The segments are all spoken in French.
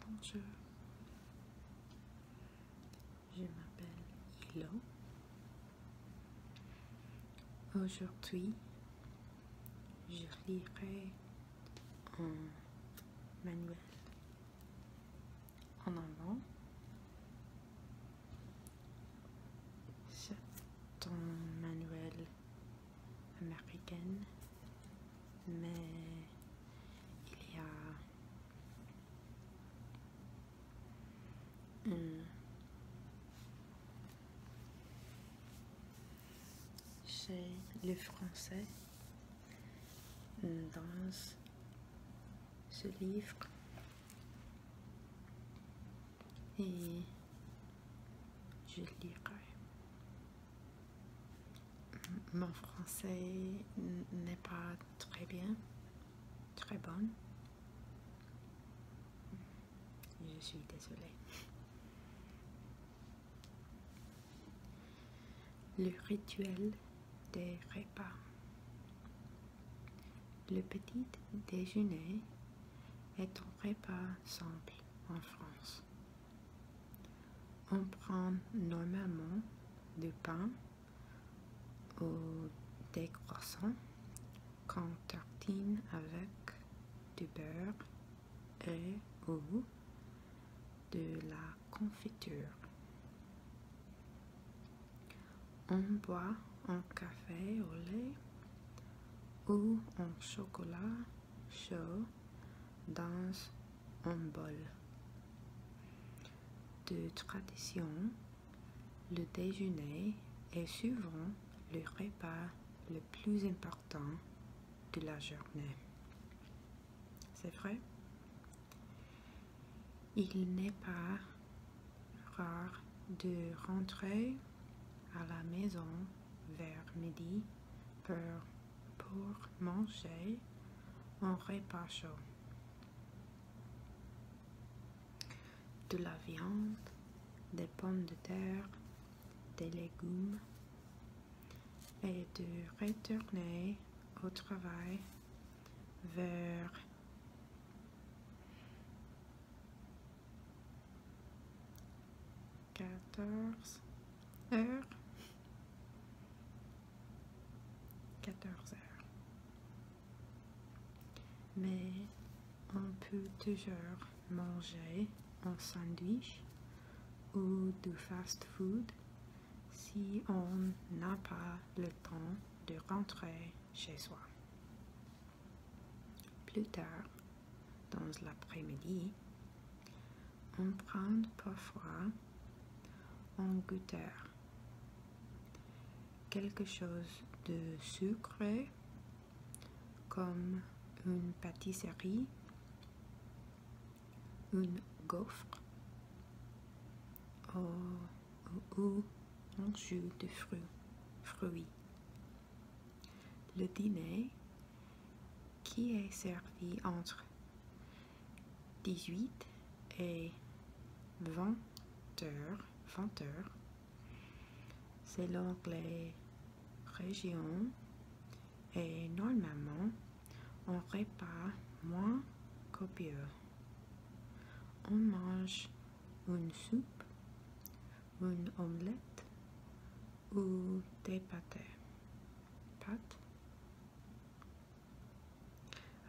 Bonjour, je m'appelle Hilo. Aujourd'hui, je lirai un manuel en allemand. C'est un manuel américaine, mais il y a chez les Français dans ce livre et je lirai. Mon français n'est pas très bien, très bon. Je suis désolée. Le rituel des repas. Le petit déjeuner est un repas simple en France. On prend normalement du pain ou des croissants qu'on tartine avec du beurre et ou de la confiture. On boit un café au lait ou un chocolat chaud dans un bol. De tradition, le déjeuner est souvent le repas le plus important de la journée. C'est vrai? Il n'est pas rare de rentrer à la maison vers midi pour pour manger en repas chaud. De la viande, des pommes de terre, des légumes et de retourner au travail vers 14 heures. 14 heures. Mais on peut toujours manger un sandwich ou du fast-food si on n'a pas le temps de rentrer chez soi. Plus tard, dans l'après-midi, on prend parfois un goûteur, quelque chose de sucré comme une pâtisserie, une gaufre ou, un jus de fruit, fruits. Le dîner qui est servi entre 18 et 20 heures, selon les régions et normalement on répare moins copieux. On mange une soupe, une omelette, ou des pâtes, pâtes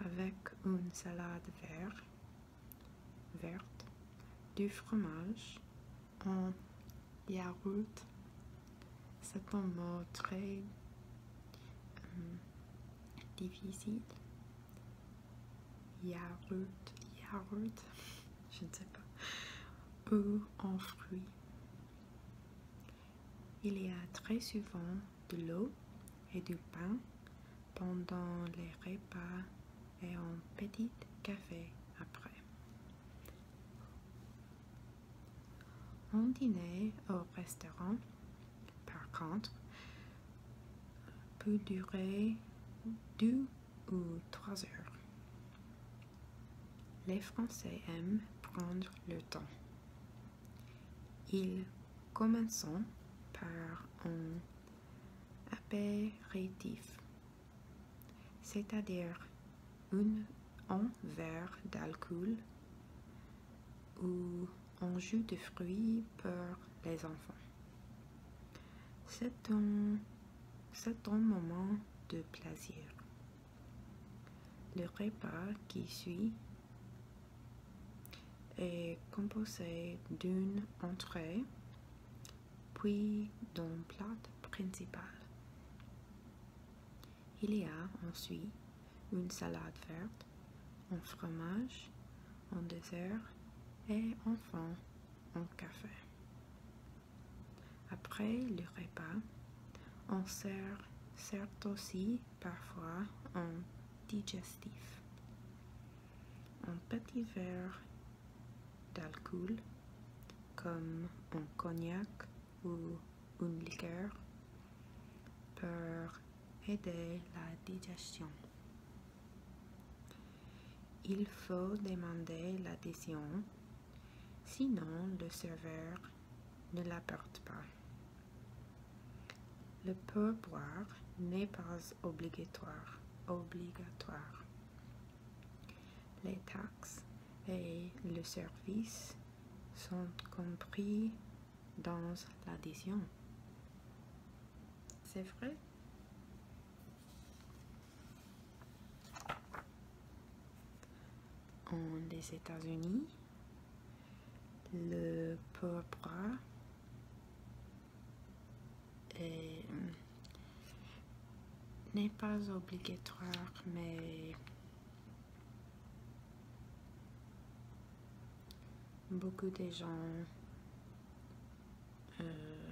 avec une salade verte, verte du fromage en yaourt. C'est un mot très hum, difficile. Yaourt, yaourt, je ne sais pas. Ou en fruits il y a très souvent de l'eau et du pain pendant les repas et un petit café après. Un dîner au restaurant, par contre, peut durer deux ou trois heures. Les Français aiment prendre le temps. Ils commencent par un apéritif, c'est-à-dire un verre d'alcool ou un jus de fruits pour les enfants. C'est un moment de plaisir. Le repas qui suit est composé d'une entrée, puis d'un plat principal. Il y a ensuite une salade verte, un fromage, un dessert et enfin un café. Après le repas, on sert, certes aussi parfois en digestif. Un petit verre d'alcool, comme un cognac ou une liqueur, pour aider la digestion. Il faut demander l'adhésion sinon le serveur ne l'apporte pas. Le peu-boire n'est pas obligatoire. obligatoire. Les taxes et le service sont compris dans l'addition. C'est vrai en les États-Unis, le pourpre hmm, n'est pas obligatoire, mais beaucoup de gens euh,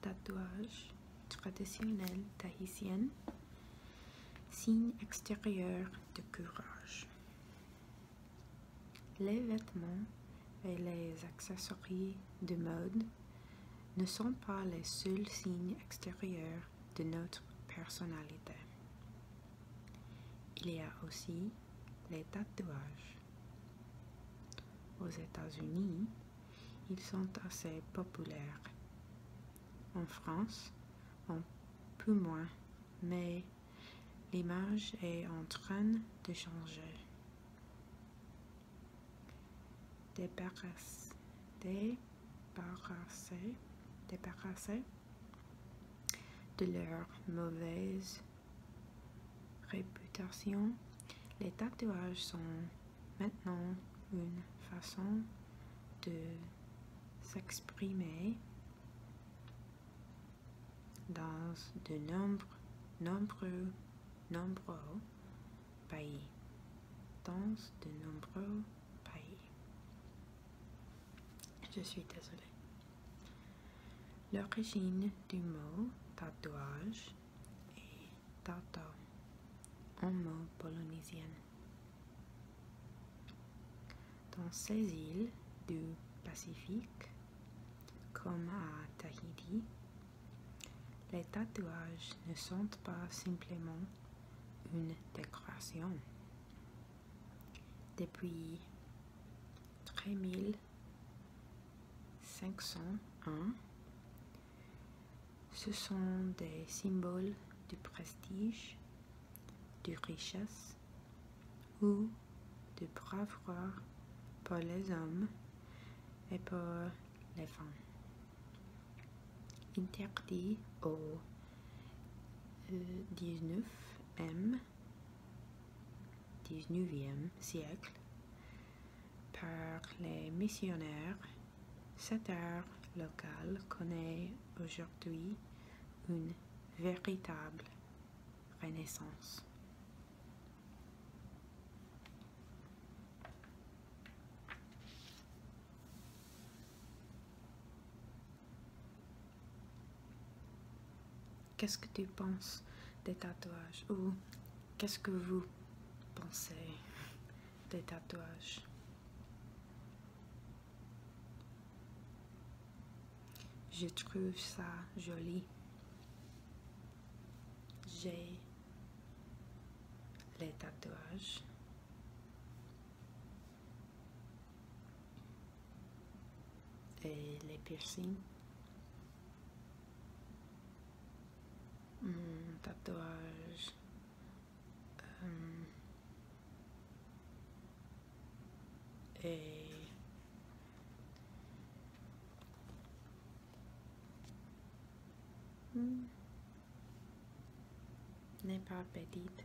Tatouage traditionnel tahitien, signe extérieur de courage. Les vêtements et les accessoires de mode ne sont pas les seuls signes extérieurs de notre personnalité. Il y a aussi les tatouages. Aux États-Unis, ils sont assez populaires. En France, un peu moins, mais l'image est en train de changer. Débarrasser, débarrasser, débarrasser de leur mauvaise réputation, les tatouages sont maintenant une façon de s'exprimer dans de nombreux, nombreux pays. Dans de nombreux pays. Je suis désolée. L'origine du mot tatouage est tata, en mot polynésien. Dans ces îles du Pacifique, comme à Tahiti, les tatouages ne sont pas simplement une décoration, depuis 3501. Ce sont des symboles de prestige, de richesse ou de bravoure pour les hommes et pour les femmes. Interdit au 19 euh, m 19e siècle par les missionnaires, cette terre locale connaît aujourd'hui une véritable renaissance. Qu'est-ce que tu penses des tatouages Ou qu'est-ce que vous pensez des tatouages Je trouve ça joli. J'ai les tatouages. Et les piercings. Hmm, tatouage. Hmm. Et hmm. n'est pas petite.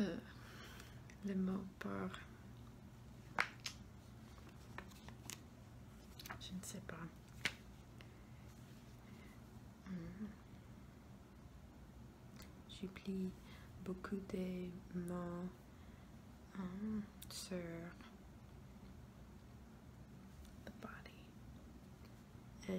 Euh, le mot par... Je ne sais pas. Hmm. J'oublie beaucoup des mots hein, sur the body. Euh,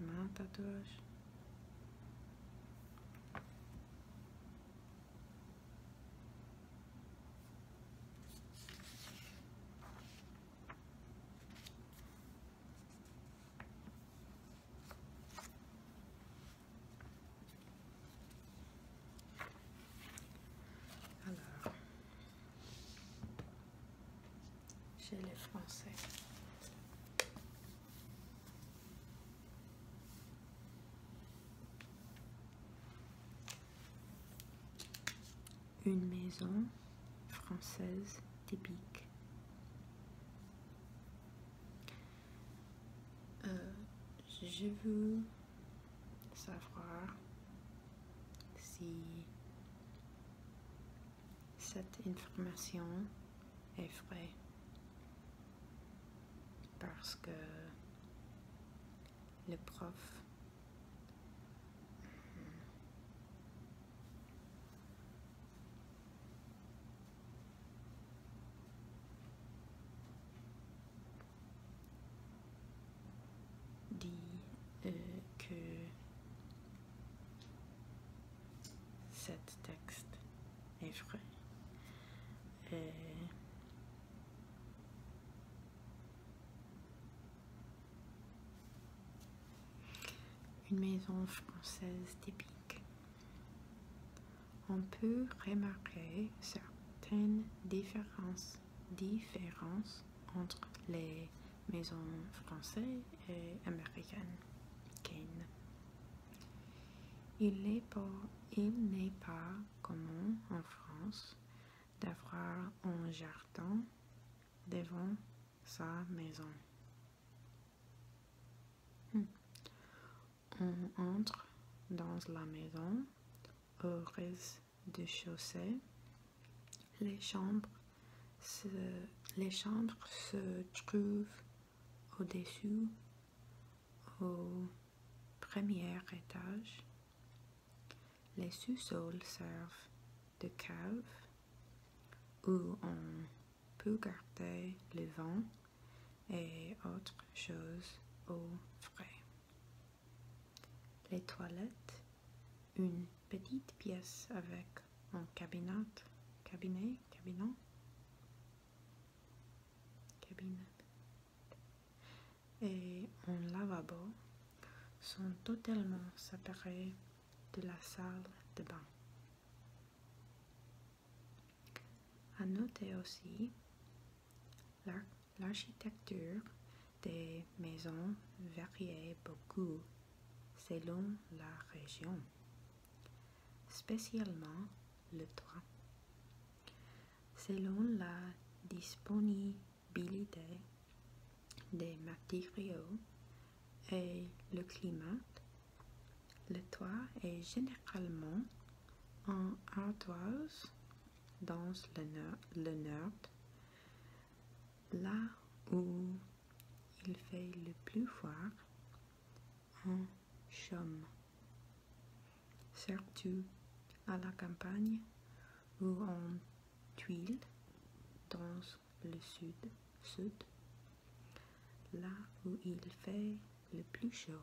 Mam douche. Alors, j'ai les français. Une maison française typique. Euh, je veux savoir si cette information est vraie parce que le prof euh, dit euh, que texte texte est vrai. une maison française typique. On peut remarquer certaines différences entre les maisons françaises et américaines. Il n'est pas, commun en France d'avoir un jardin devant sa maison. Hmm. On entre dans la maison au rez-de-chaussée. Les chambres, les chambres se trouvent au-dessus au premier étage. Les sous-sols servent de cave où on peut garder le vent et autres choses au frais. Les toilettes, une petite pièce avec en cabinet, cabinet, cabinet, cabinet et un lavabo sont totalement séparés de la salle de bain. À noter aussi l'architecture des maisons varie beaucoup selon la région spécialement le toit, selon la disponibilité des matériaux et le climat. Le toit est généralement en ardoise dans le nord, le nord là où il fait le plus froid en chaume. Surtout à la campagne ou en tuile dans le sud, sud, là où il fait le plus chaud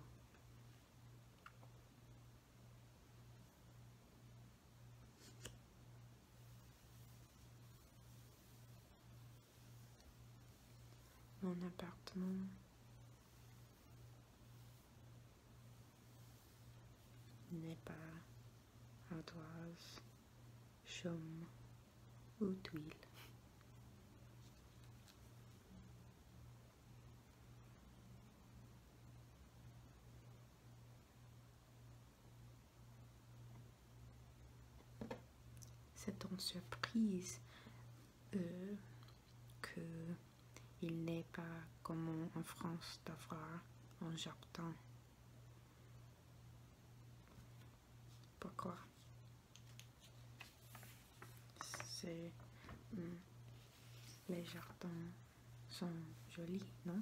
mon appartement. n'est pas ardoise, chaume ou tuile. C'est une surprise euh, que il n'est pas commun en France d'avoir un jardin. Pourquoi C'est... Hum, les jardins sont jolis, non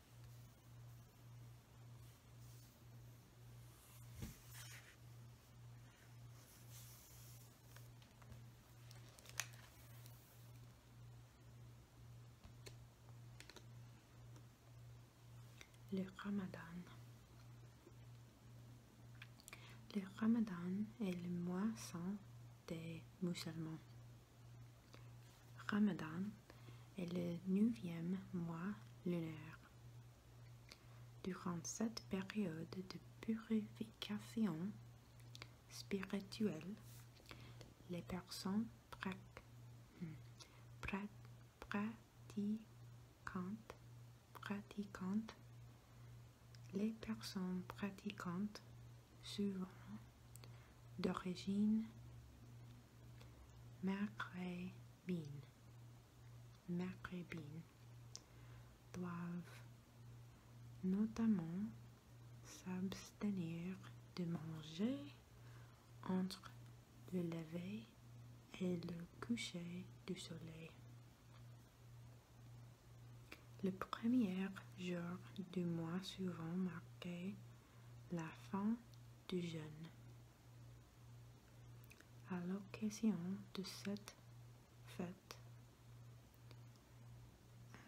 Le Ramadan. Le Ramadan est le mois saint des musulmans. Ramadan est le neuvième mois lunaire. Durant cette période de purification spirituelle, les personnes hmm, pratiquantes, les personnes pratiquantes souvent d'origine maghrébine, doivent notamment s'abstenir de manger entre le lever et le coucher du soleil. Le premier jour du mois suivant marquait la fin du À l'occasion de cette fête,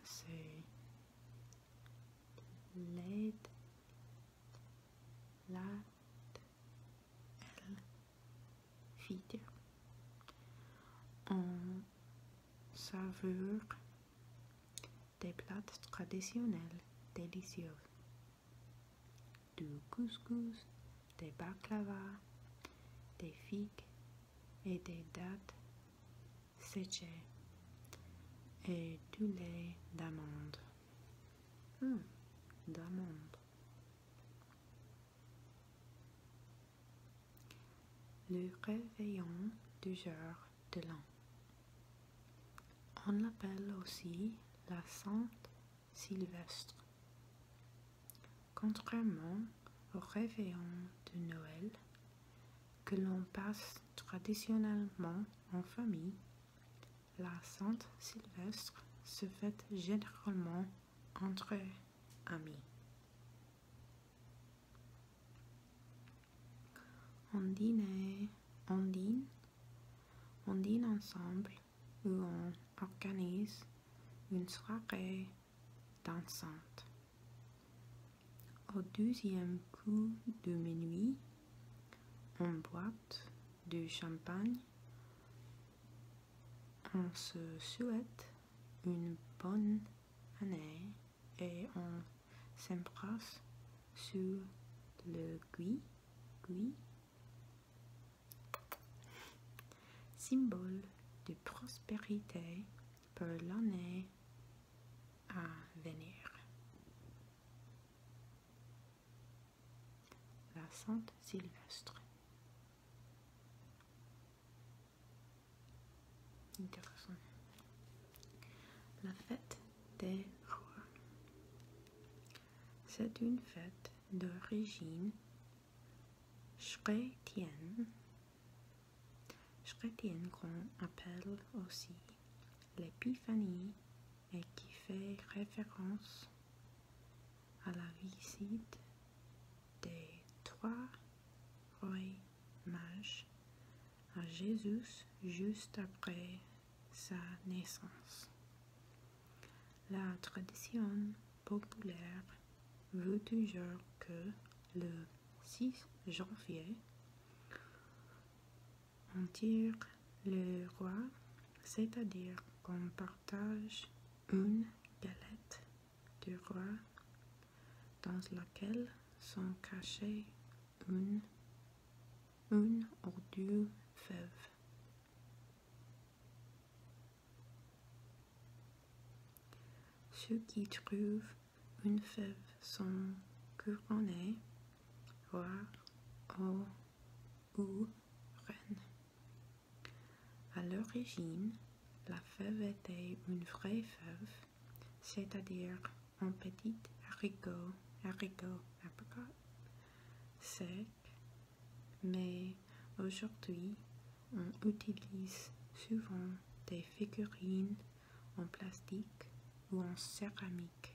c'est l'aide, la vide. On saveur des plats traditionnels délicieux, du couscous, des baklava, des figues et des dattes séchées et du lait d'amande. Hum, d'amande. Le réveillon du jour de l'an. On l'appelle aussi la Sainte Sylvestre. Contrairement au réveillon de Noël, que l'on passe traditionnellement en famille, la Sainte Sylvestre se fête généralement entre amis. On dîne, on dîne, On dîne ensemble ou on organise une soirée dansante. Au deuxième coup de minuit, on boite du champagne. On se souhaite une bonne année et on s'embrasse sur le gui, gui, symbole de prospérité pour l'année à venir. La Sainte Sylvestre. Intéressant. La fête c'est une fête d'origine chrétienne, chrétienne qu'on appelle aussi l'épiphanie et qui fait référence à la visite des trois rois mages à Jésus juste après sa naissance. La tradition populaire veut toujours que le 6 janvier, on tire le roi, c'est-à-dire qu'on partage une galette du roi dans laquelle sont cachés une, une ou deux fèves. Ceux qui trouvent une fève sont couronnés, voire ou, ou reines. À l'origine, la fève était une vraie fève, c'est-à-dire un petit haricot, haricot, apricot sec, mais aujourd'hui on utilise souvent des figurines en plastique ou en céramique.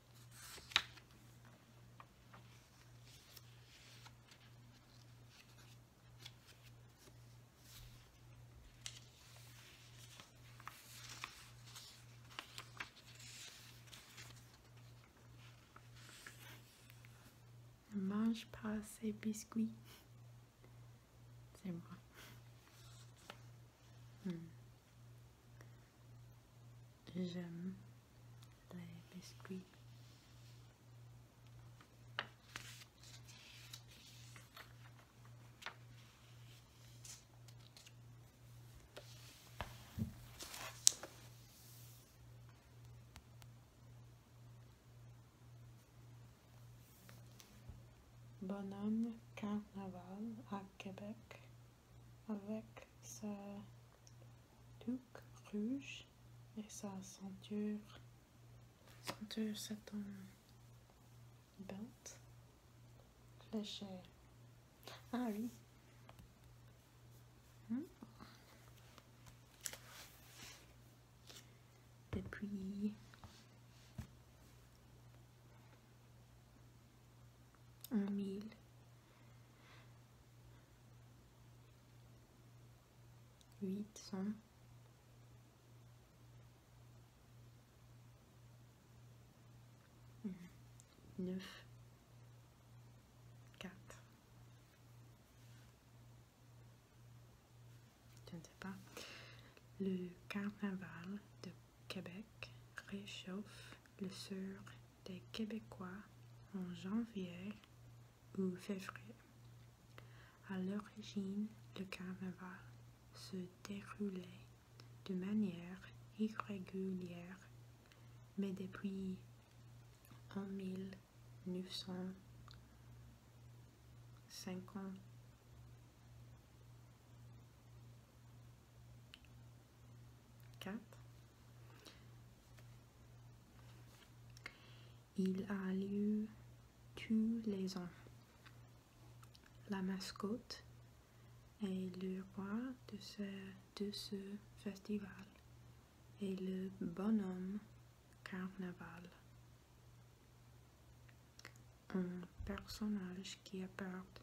Ne mange pas ces biscuits. C'est moi. Hmm. J'aime les biscuits. Bonhomme Carnaval à Québec avec sa tuque rouge et sa ceinture. Ceinture, c'est un belt fléché. Ah oui. Depuis hmm. 1000 800 9 4 Je ne sais pas le carnaval de Québec réchauffe le sort des Québécois en janvier ou février. À l'origine, le carnaval se déroulait de manière irrégulière, mais depuis 1950 4. Il a lieu tous les ans. La mascotte est le roi de de ce festival et le bonhomme carnaval un personnage qui apporte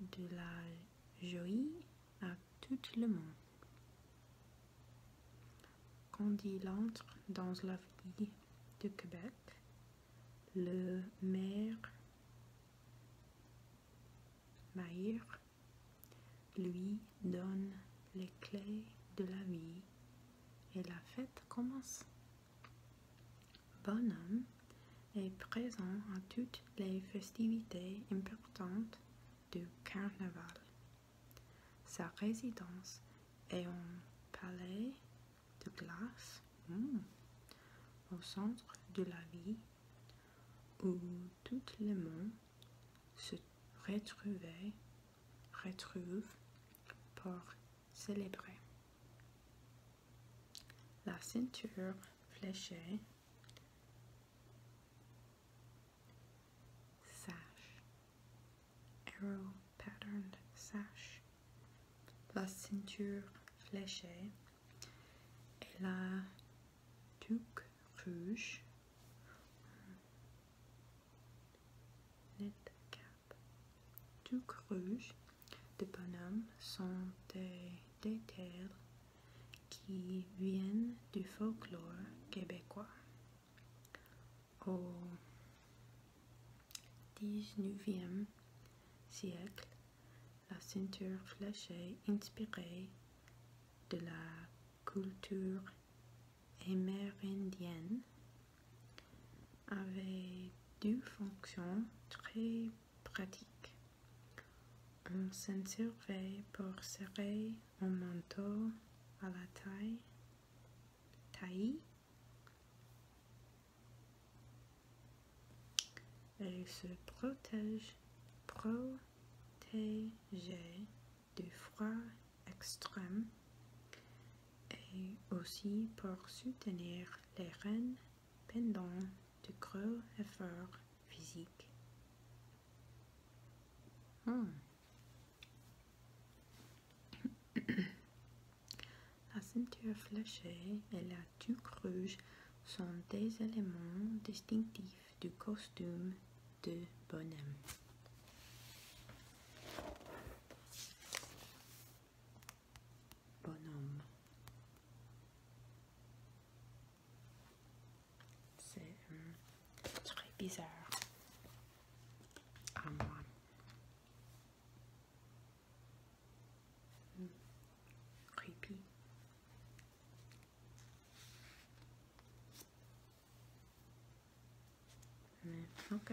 de la joie à tout le monde. Quand il entre dans la vie de Québec, le maire Maïr lui donne les clés de la vie et la fête commence. Bonhomme est présent à toutes les festivités importantes du carnaval. Sa résidence est un palais de glace hmm, au centre de la vie où tout le monde se retrouvait, retrouve pour célébrer la ceinture fléchée, sash, arrow patterned sash, la ceinture fléchée et la tuque rouge, net cap, tuque rouge de bonhommes sont des, terres qui viennent du folklore québécois. Au 19e siècle, la ceinture fléchée inspirée de la culture amérindienne avait deux fonctions très pratique. On s'en servait pour serrer un manteau à la taille, taille, Elle se protège, protège du froid extrême et aussi pour soutenir les rênes pendant de gros efforts physiques. Hmm. La ceinture fléchée et la tuque rouge sont des éléments distinctifs du costume de bonhomme bonhomme. Hum, c'est très bizarre à hum, creepy. Mais hum, ok.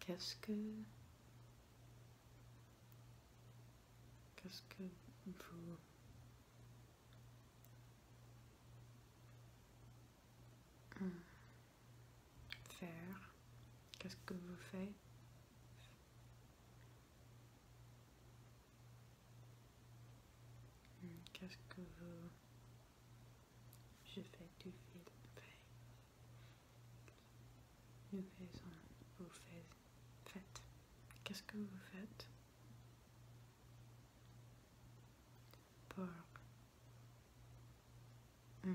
Qu'est-ce que... Qu'est-ce que vous... Faire Qu'est-ce que vous faites Qu'est-ce que vous je fais du fil Nous faisons, vous faites. Qu'est-ce que vous faites pour hmm.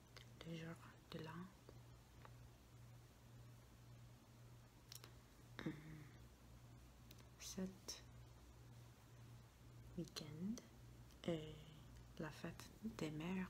Deux jours de l'an, hum. cette week-end la fête des mères.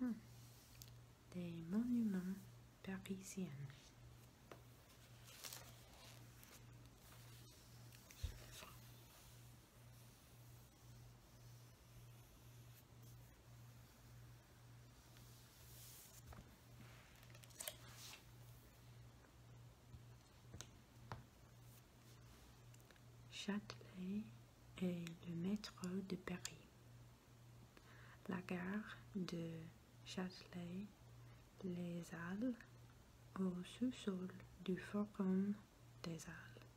Hmm. Des monuments parisiens. Châtelet est le métro de Paris. La gare de Châtelet-Les Halles, au sous-sol du Forum des Halles,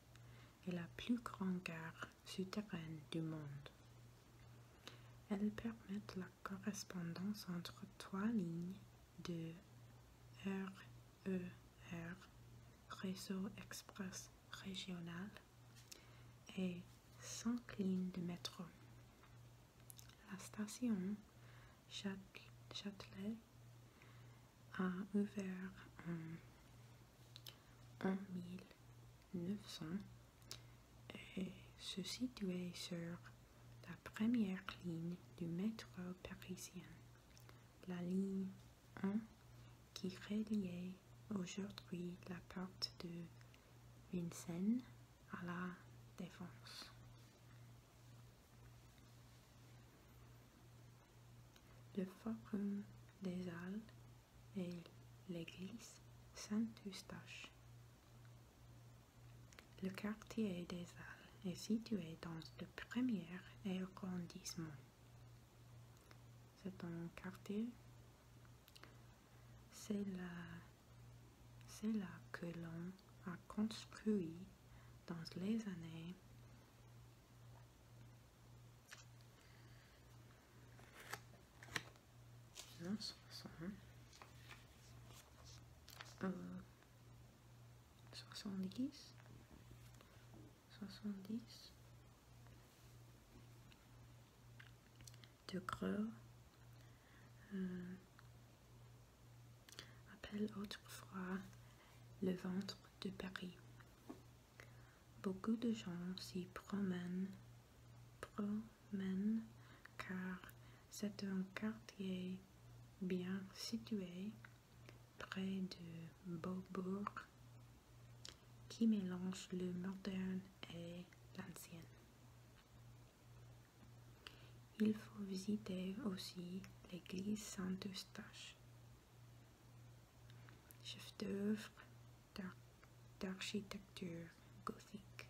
est la plus grande gare souterraine du monde. Elle permet la correspondance entre trois lignes de RER, e Réseau Express Régional, et cinq lignes de métro. La station Châtelet a ouvert en 1900 et se situait sur la première ligne du métro parisien, la ligne 1 qui reliait aujourd'hui la porte de Vincennes à la Défense. Le Forum des Halles et l'église Saint-Eustache. Le quartier des Halles est situé dans le premier arrondissement. C'est un quartier. C'est là, que l'on a construit dans les années soixante 70 70 de creux euh, appelle autrefois le ventre de Paris. Beaucoup de gens s'y promènent, promènent car c'est un quartier bien situé près de Beaubourg qui mélange le moderne et l'ancien. Il faut visiter aussi l'église Saint-Eustache, chef-d'œuvre d'architecture gothique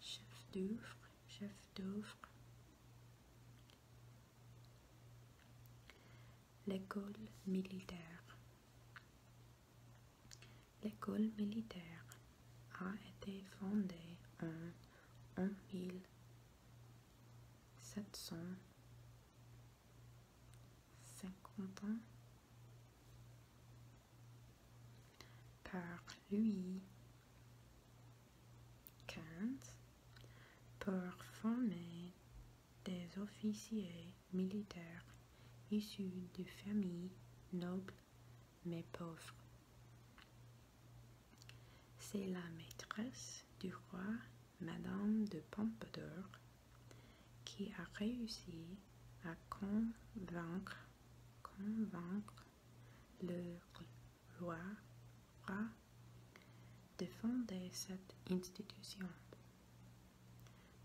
chef d'œuvre, chef d'œuvre. L'école militaire. L'école militaire a été fondée en, 1750 par Louis 15. Pour former des officiers militaires issus de familles nobles mais pauvres. C'est la maîtresse du roi, Madame de Pompadour, qui a réussi à convaincre, convaincre le roi, a défendait cette institution.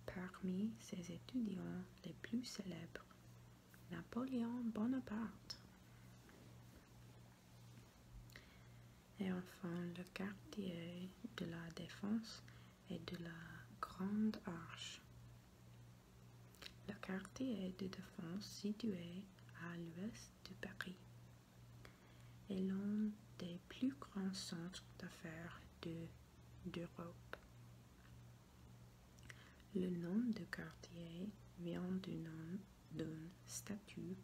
Parmi ses étudiants les plus célèbres, Napoléon Bonaparte. Et enfin, le quartier de la Défense et de la Grande Arche le quartier de défense situé à l'ouest de Paris est l'un des plus grands centres d'affaires d'Europe. Le nom de quartier vient du nom d'une statue,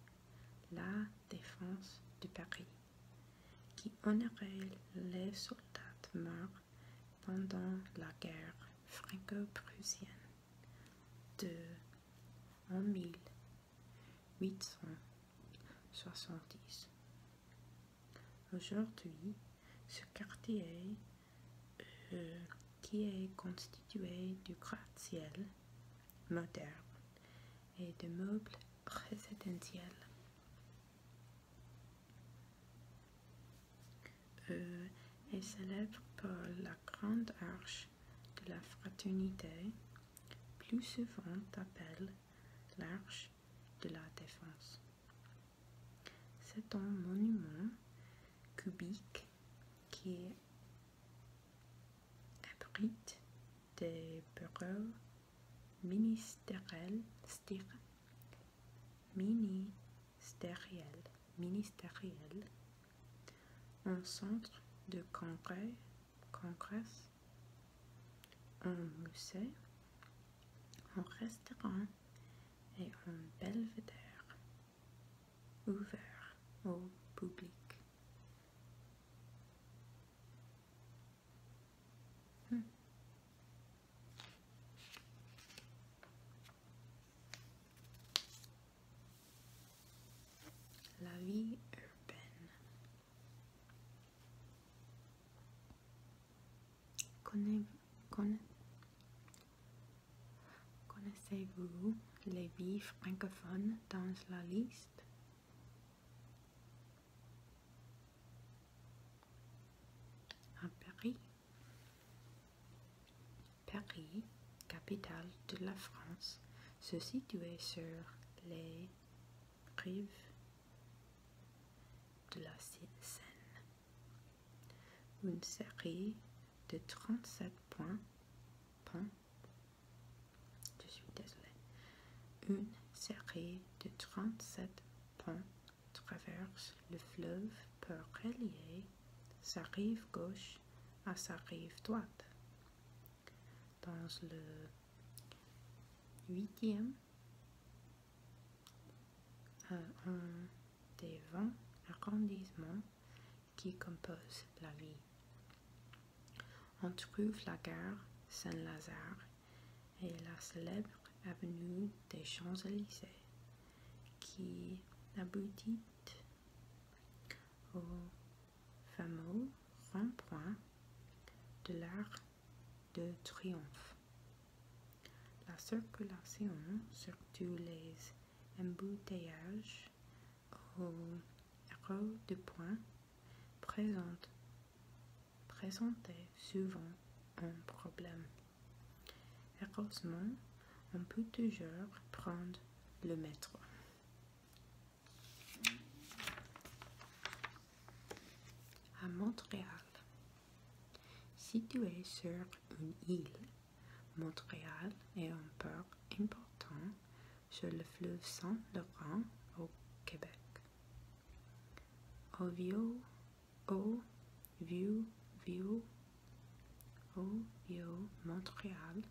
la Défense de Paris, qui honorait les soldats morts pendant la guerre franco-prussienne de 1870. Aujourd'hui, ce quartier, euh, qui est constitué du gratte-ciel moderne et de meubles présidentiels et euh, est célèbre par la grande arche de la fraternité, plus souvent appelée l'arche de la défense. C'est un monument cubique qui abrite des bureaux ministériels Mini ministériel, ministériel un centre de congrès, un musée, un restaurant et un belvédère ouvert au public. Hmm. La vie urbaine. Connaissez-vous les vies francophones dans la liste À Paris Paris, capitale de la France, se situait sur les rives de la Seine. Une série de 37 points, je suis désolée, une série de 37 ponts traverse le fleuve pour relier sa rive gauche à sa rive droite. Dans le huitième, un des vingt arrondissements qui composent la ville. On trouve la gare Saint-Lazare et la célèbre avenue des Champs-Élysées qui aboutit au fameux rond-point de l'art de Triomphe. La circulation, tous les embouteillages au rond de points, présente, présentait souvent un problème. Heureusement, on peut toujours prendre le métro. À Montréal. Situé sur une île, Montréal est un port important sur le fleuve Saint-Laurent au Québec au vieux vieux Montréal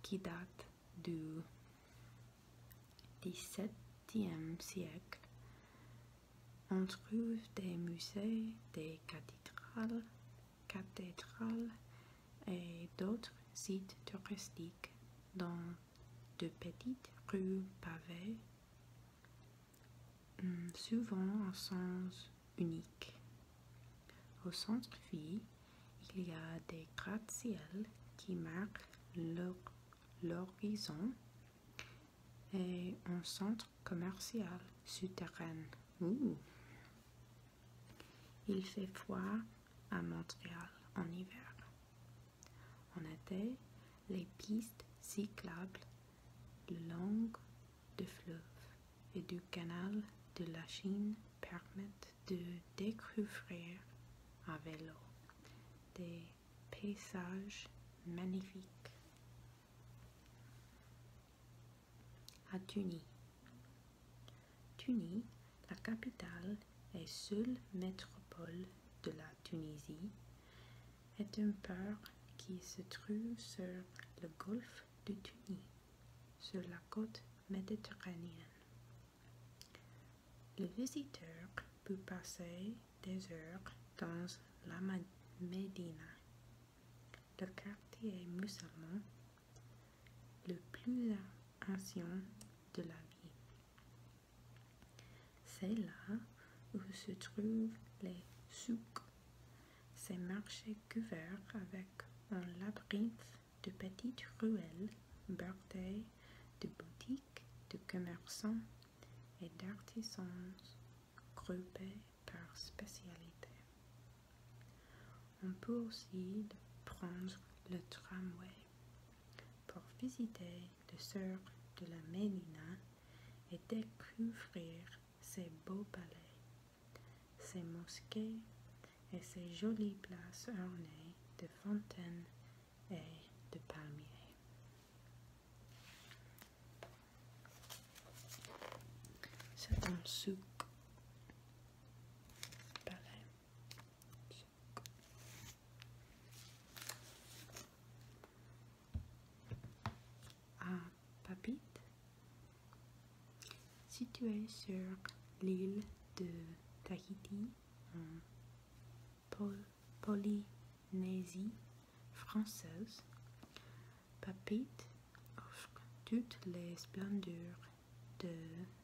qui date du XVIIe siècle. On trouve des musées, des cathédrales, cathédrales et d'autres sites touristiques dans de petites rues pavées Hmm, souvent en sens unique. Au centre-ville, il y a des gratte ciels qui marquent l'horizon et un centre commercial souterrain. Il fait froid à Montréal en hiver. En été, les pistes cyclables long du fleuve et du canal de la Chine permettent de découvrir à vélo des paysages magnifiques. À Tunis. Tunis, la capitale et seule métropole de la Tunisie, est un port qui se trouve sur le golfe de Tunis, sur la côte méditerranéenne. Le visiteur peut passer des heures dans la Médina, le quartier musulman le plus ancien de la ville. C'est là où se trouvent les souks ces marchés couverts avec un labyrinthe de petites ruelles bordées de boutiques, de commerçants et d'artisans groupés par spécialité. On peut aussi prendre le tramway pour visiter les Sœurs de la mélina et découvrir ces beaux palais, ces mosquées et ces jolies places ornées de fontaines et de palmiers. C'est un à ah, Papit, située sur l'île de Tahiti en euh, Polynésie française. Papit offre toutes les splendeurs de,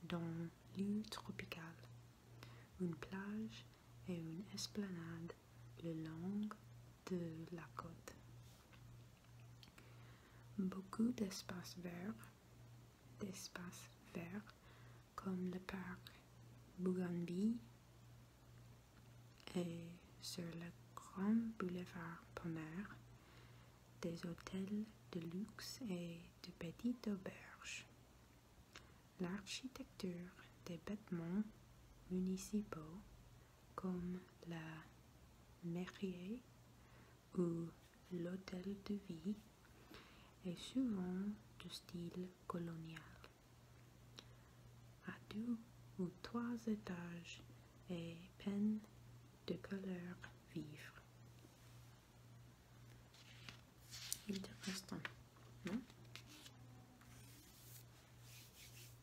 dans l'île tropicale, une plage et une esplanade le long de la côte. Beaucoup d'espaces verts, verts comme le parc Bougambi et sur le grand boulevard Pomer, des hôtels de luxe et de petites auberges. L'architecture des bâtiments municipaux comme la mairie ou l'hôtel de Vie est souvent de style colonial. À deux ou trois étages et peine de couleur vivres. non?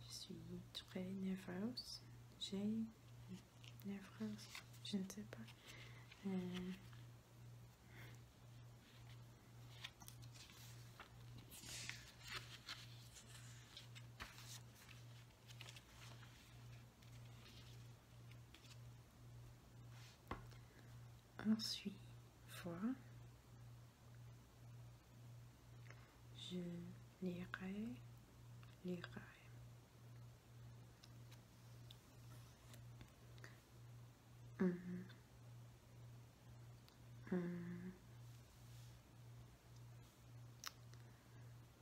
Je suis très nerveuse. J'ai nerveuse, je ne sais pas. Euh. Ensuite, fois je lirai lirai mmh. Hum, hum.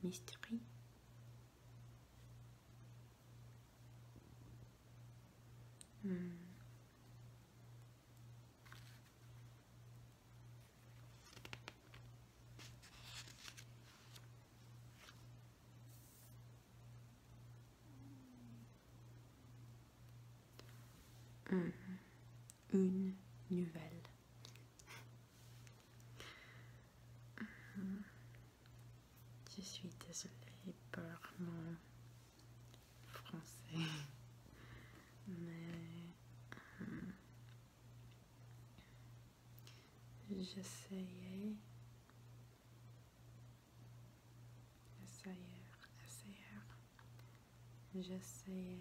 Mystery Hmm. hmm. Une nouvelle Mhm. Je suis désolée pour mon français, mais mhm. j'essayais, j'essayais essayer, j'essayais,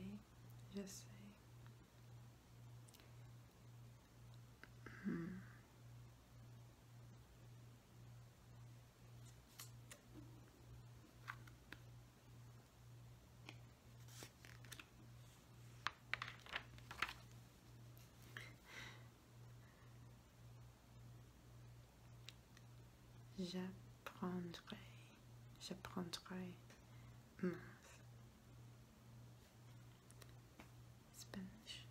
j'essaie, J'apprendrai, j'apprendrai, Spanish.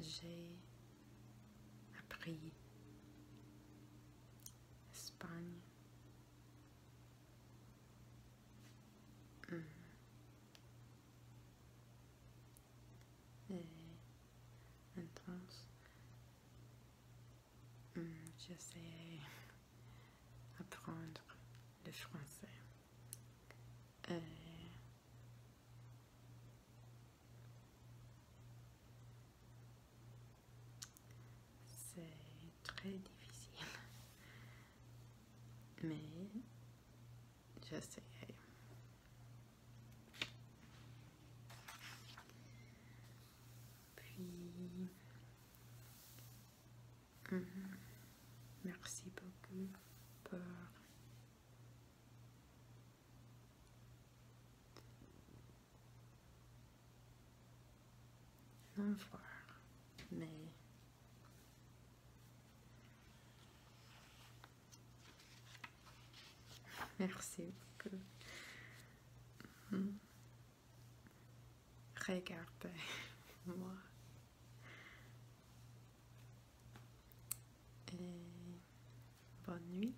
J'ai appris Espagne, Mm. Et intense. Mm, J'essaie apprendre le français. Euh, c'est très difficile mais j'essaie puis mhm. merci beaucoup non voir. Mais... Merci beaucoup. Mmh. Regardez-moi. Et bonne nuit.